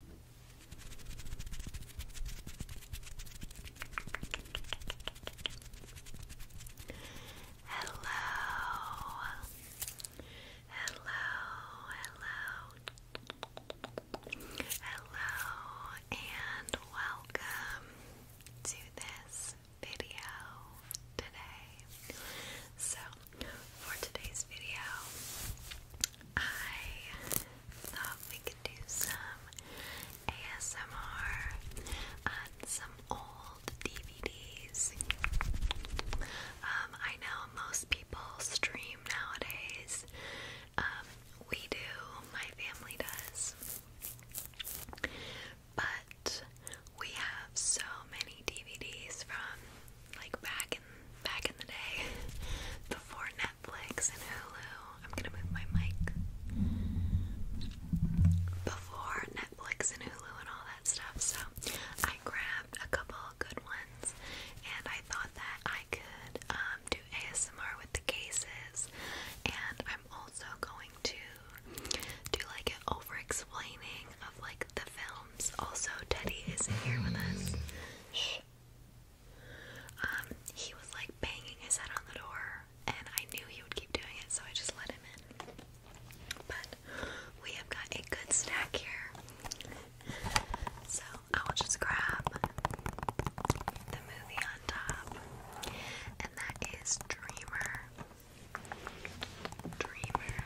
Hello, hello, hello, hello, and welcome to this video today. So, for today's video, I thought we could do some ASMR on some old DVDs. Um, I know most people stream nowadays. Um, we do, my family does. But we have so many DVDs from like back back in the day before Netflix and Hulu. I'm gonna move my mic. Before Netflix and Hulu and all that stuff, so I grabbed a couple good ones and I thought that I could um, do ASMR with the cases and I'm also going to do like an over explaining of like the films. Also Teddy isn't here with us. Um, he was like banging his head on the door, and I knew he would keep doing it, so I just let him in. But we have got a good snack here, so I will just grab the movie on top, and that is Dreamer. Dreamer,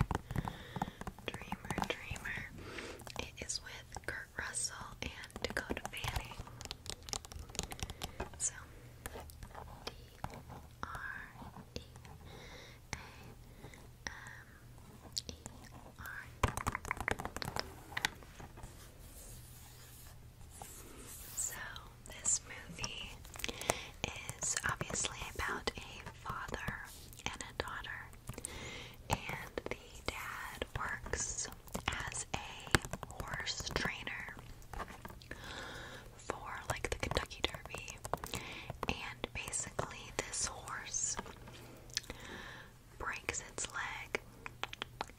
dreamer, dreamer. It is with Kurt Russell and Dakota Fanning. So, D R E A M E R. So, this movie is obviously about a father and a daughter and the dad works as a horse trainer for like the Kentucky Derby. And basically, this horse breaks its leg,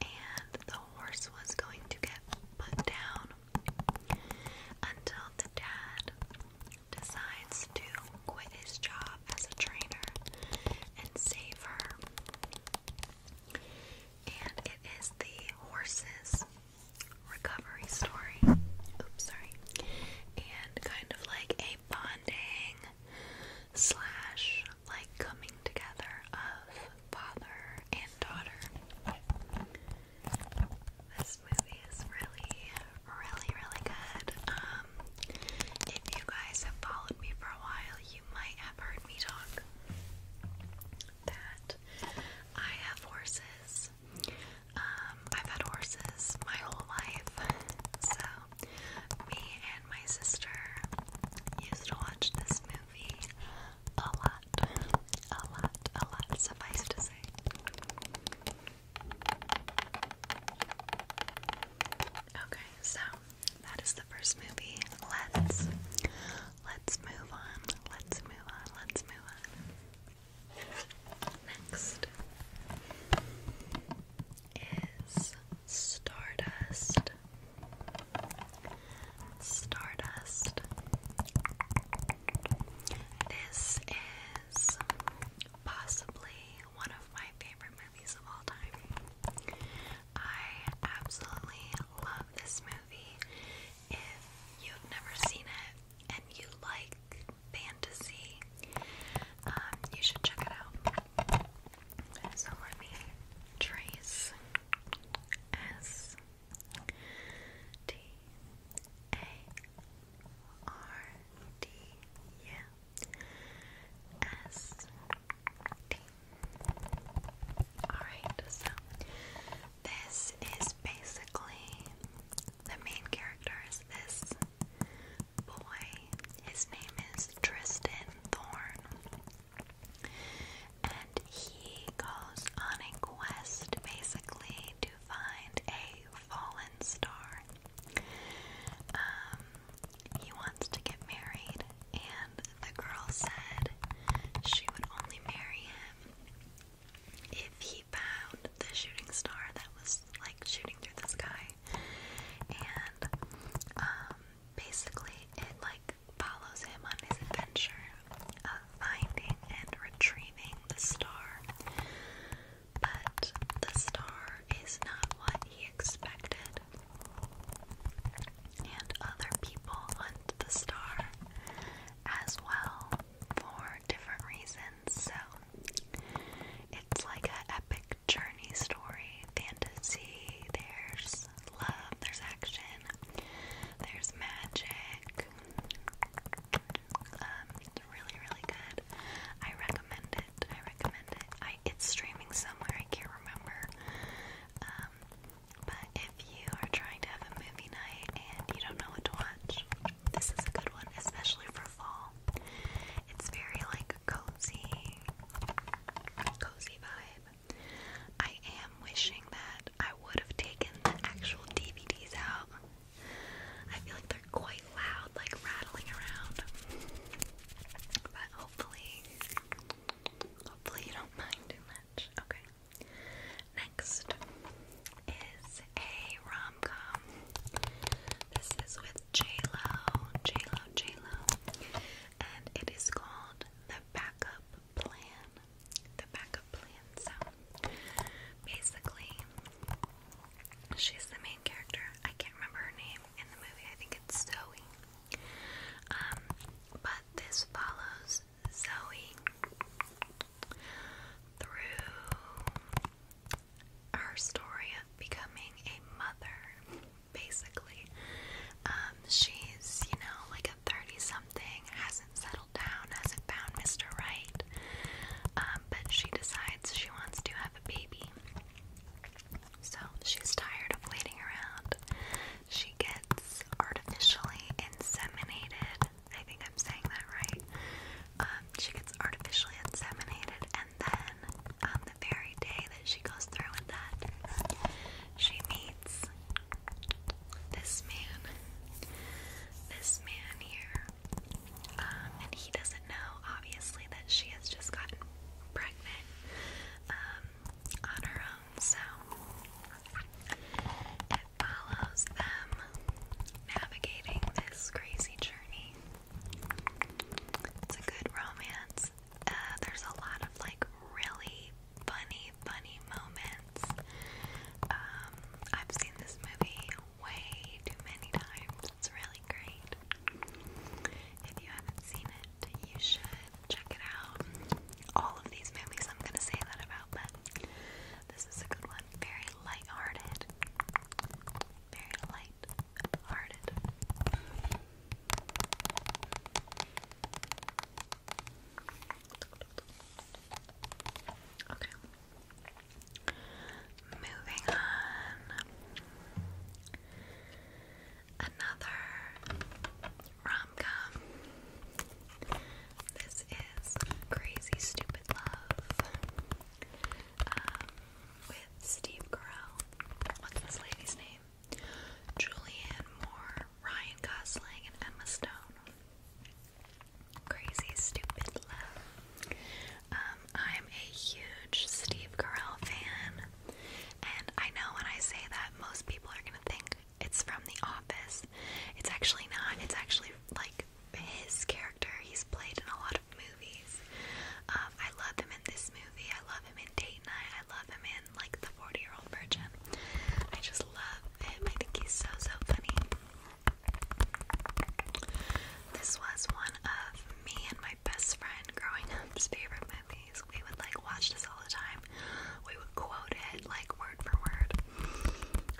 and the horse was going to get put down until the dad decides to quit his job as a trainer and save her. And it is the horse's recovery story. Oops, sorry. And kind of like a bonding slash like coming together of father and daughter. This movie is really, really, really good. Um, if you guys have followed me for a while, you might have heard me talk that I have horses. Um, I've had horses my whole life, so me and my sister used to watch this movie a lot, a lot, a lot, suffice to say. Okay, so that is the first movie. Let's let's move on. Let's move on. Let's move on. Next is Stardust. Stardust. This is possibly one of my favorite movies of all time. I absolutely love this movie. If you've never seen it and you like fantasy, um, you should check it out. So let me trace S T A R D Alright, so this is basically the main character is this boy. His name is Tristan Thorn, And he goes on a quest basically to find a fallen star. Um, he wants to get married, and the girl said she would only marry him if he found the shooting star that was like shooting through the sky. And um, basically, it like follows him on his adventure of finding and retrieving the star but the star is not what he expected. And other people want the star as well for different reasons, so it's like an epic journey story, fantasy. There's love, there's action, there's magic, um, it's really, really good. I recommend it. I recommend it. it's streaming somewhere. I can't remember. Um, but if you are trying to have a movie night and you don't know what to watch, this is a good one, especially for fall. It's very like cozy, cozy vibe. I am wishing that I would have taken the actual DVDs out I feel like they're quite loud, like rattling around. But hopefully, hopefully you don't mind too much. Okay. Next is a rom com. This is with J Lo, J Lo, J Lo, and it is called The Backup Plan. The Backup Plan. So Basically, she's the main character. I can't remember her name in the movie. I think it's Zoe. Um, but this follows Zoe through her story of becoming a mother. Basically, um, she's you know like a thirty-something, has settled down, hasn't found Mr. Right, um, but she decides she wants to have a baby. So she's tired of waiting around. She gets artificially inseminated. I think I'm saying that right. Um, she gets artificially inseminated, and then on um, the very day that she goes through with that, she meets this man. This man here um, and he doesn't know, obviously, that she has just gotten pregnant um, on her own. So it follows them navigating this crazy journey. It's a good romance. Uh, there's a lot of like really funny, funny moments. Um, I've seen this movie way too many times. It's really great. If you haven't seen it, you should check it out. All of these movies I'm gonna say that about, but this is a good one. Very light-hearted. Very light-hearted. Okay. Moving on. Another rom com. This is Crazy Stupid Love. Um, with Steve Carell. What's this lady's name? Julianne Moore, Ryan Gosling, and Emma Stone. Crazy Stupid Love. Um, I'm a huge Steve Carell fan, and I know when I say that, most people are gonna think it's from The Office. It's actually not, it's actually like his character. He's played in a lot of movies. Um, I love him in this movie, I love him in Date Night, I love him in like The 40 Year Old Virgin. I just love him, I think he's so, so funny. This was one of me and my best friend growing up's favorite movies. We would like watch this all the time. We would quote it like word for word.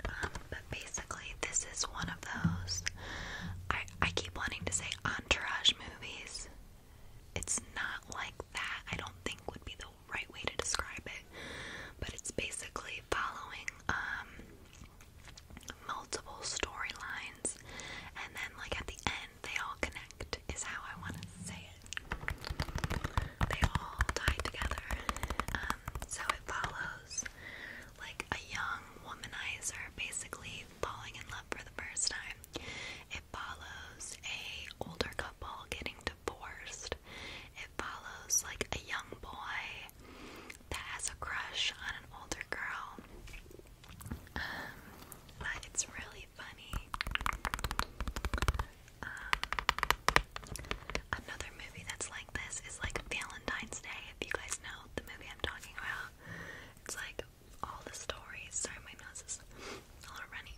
Um, but basically, this is one of those. I I keep wanting to say entourage movies. It's not like that. I don't think would be the right way to describe it, but it's basically following um, multiple storylines, and then like at the end they all connect. Is how I want to say it. They all tie together. Um, so it follows like a young womanizer basically falling in love for the first time. It follows a older couple getting divorced it follows like a young boy that has a crush on an older girl. Um, but it's really funny. Um, another movie that's like this is like Valentine's Day, if you guys know the movie I'm talking about. It's like all the stories. Sorry, my nose is a little runny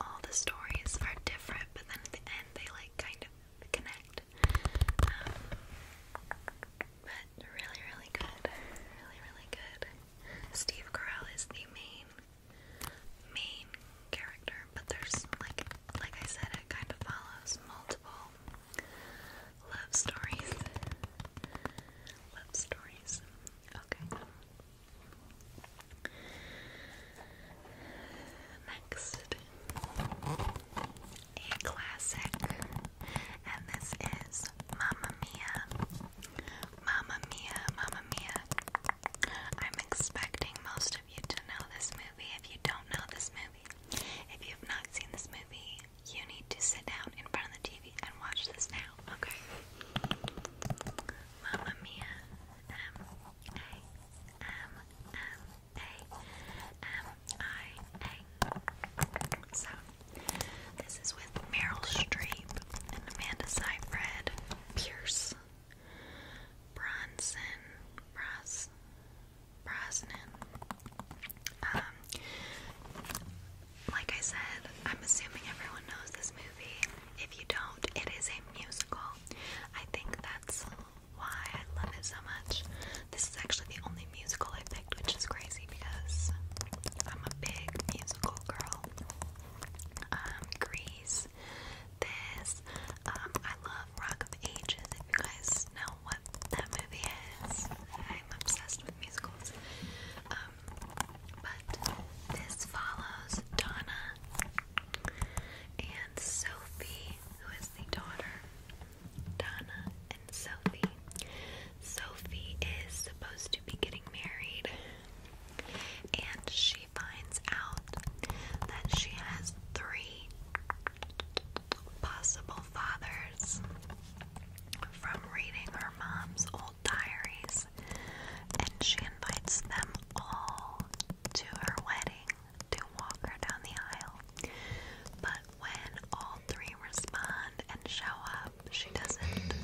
all the stories are different, but then at the end they like kind of connect. Um, but really, really good. Really, really good. Steve Carell is the main main character, but there's like like I said, it kind of follows multiple love stories. Love stories. Okay. Next, a classic, and this is Mamma Mia. Mamma Mia, Mamma Mia. I'm expecting most of you to know this movie. If you don't know this movie, if you've not seen this movie, you need to sit down in front of the TV and watch this now, okay? Mamma Mia, M A M M A M I A. So this is with Meryl Streep and Amanda Seyfried, Pierce, Bronson, Bros, Brosnan. like I said, I'm assuming everyone knows this movie. If you don't, it is a musical. I think that's why I love it so much. This is actually the only musical I picked, which is crazy because I'm a big musical girl. Um, Grease, this, um, I love Rock of Ages, if you guys know what that movie is. I'm obsessed with musicals. Um, but this follows Donna and Sophie, who is the daughter. Donna and Sophie. Sophie is supposed to be getting married, and she finds out that she has three possible fathers from reading her mom's old diaries and she invites them all to her wedding to walk her down the aisle. But when all three respond and show up, she doesn't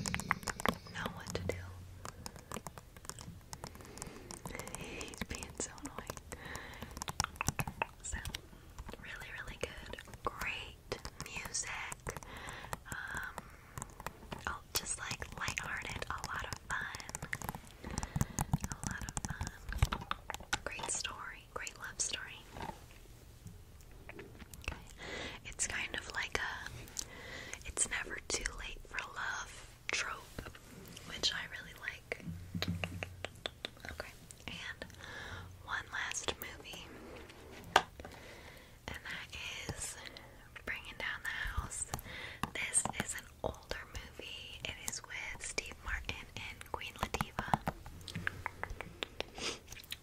know what to do. He's being so annoying. So, really, really good. Great music. Um, Oh, just like lighthearted, a lot of fun. A lot of fun. Great story, great love story. Okay. It's kind of like a it's never too late for love trope, which I really like. Okay, and one last movie and that is Bringing Down the House. This is an older movie. It is with Steve Martin and Queen Latifah,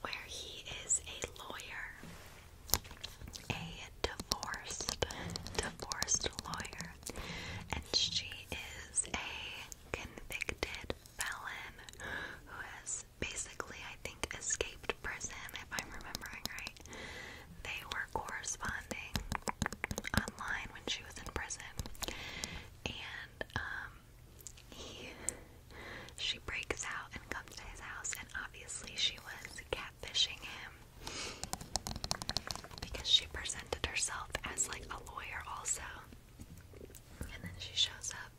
where he is a lawyer, a divorced, divorced lawyer, and she is a convicted felon who has basically, I think, escaped prison. If I'm remembering right, they were corresponding online when she was in prison, and um, he she breaks out and comes to his house, and obviously she was catfishing him because she presented herself as like a lawyer also, and then she shows up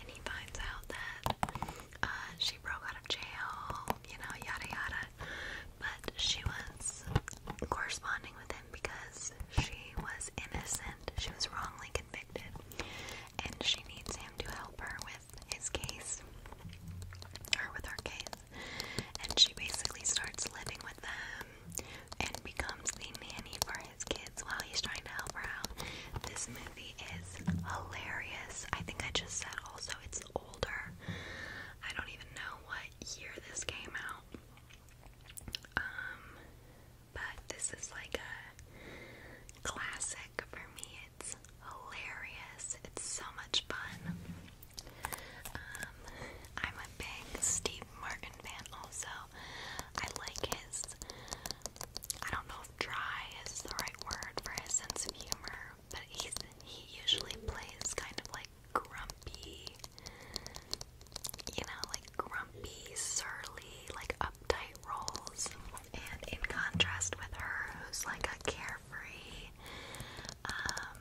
and he finds out that uh, she broke out of jail, you know, yada yada. But she was corresponding with him because she was innocent. She was wrongly convicted, and she needs him to help her with his case, or with her case. And she basically starts living with them and becomes the nanny for his kids while he's trying to help her out. This movie is hilarious. I think I just said also it's older. I don't even know what year this came out. Um, but this is like a classic for me. It's hilarious. It's so much fun. Um, I'm a big Steve Martin fan also. I like his I don't know if dry is the right word for his sense of humor but he's, he usually plays kind of like grumpy, you know, like grumpy, surly, like uptight roles. And in contrast with her, who's like a carefree, um,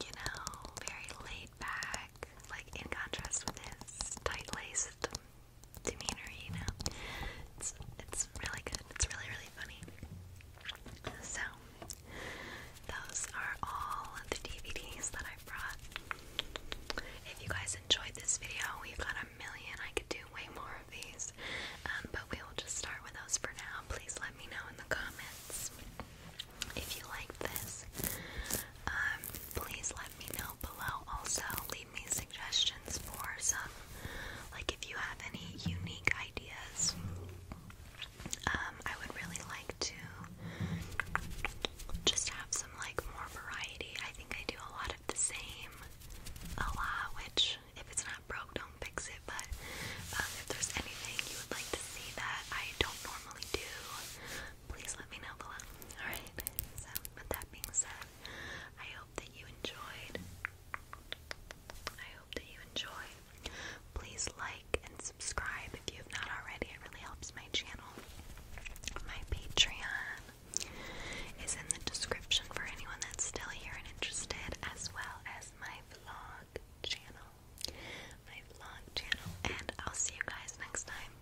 you know, very laid back, like in contrast with his tight laced demeanor, you know. It's it's really good. It's really really funny. So those are all the DVDs that I brought. If you guys enjoyed this video, we've got a million. I could do way more of these, um, but we will just start with those for now. Please let me know in the comments if you liked this. Um, please let me know below. Also, leave leave suggestions for some, like if you have any unique ideas. Um, I would really like to just have some like more variety. I think I do a lot of the same a lot, which if it's not broke, don't fix it. But um, if there's anything you would like to see that I don't normally do, please let me know below. Alright, so with that being said, I hope that you enjoyed. I hope that you enjoyed. Please like and subscribe if you have not already. It really helps my channel. My Patreon is in the description for anyone that's still here and interested, as well as my vlog channel. My vlog channel. And I'll see you guys next time.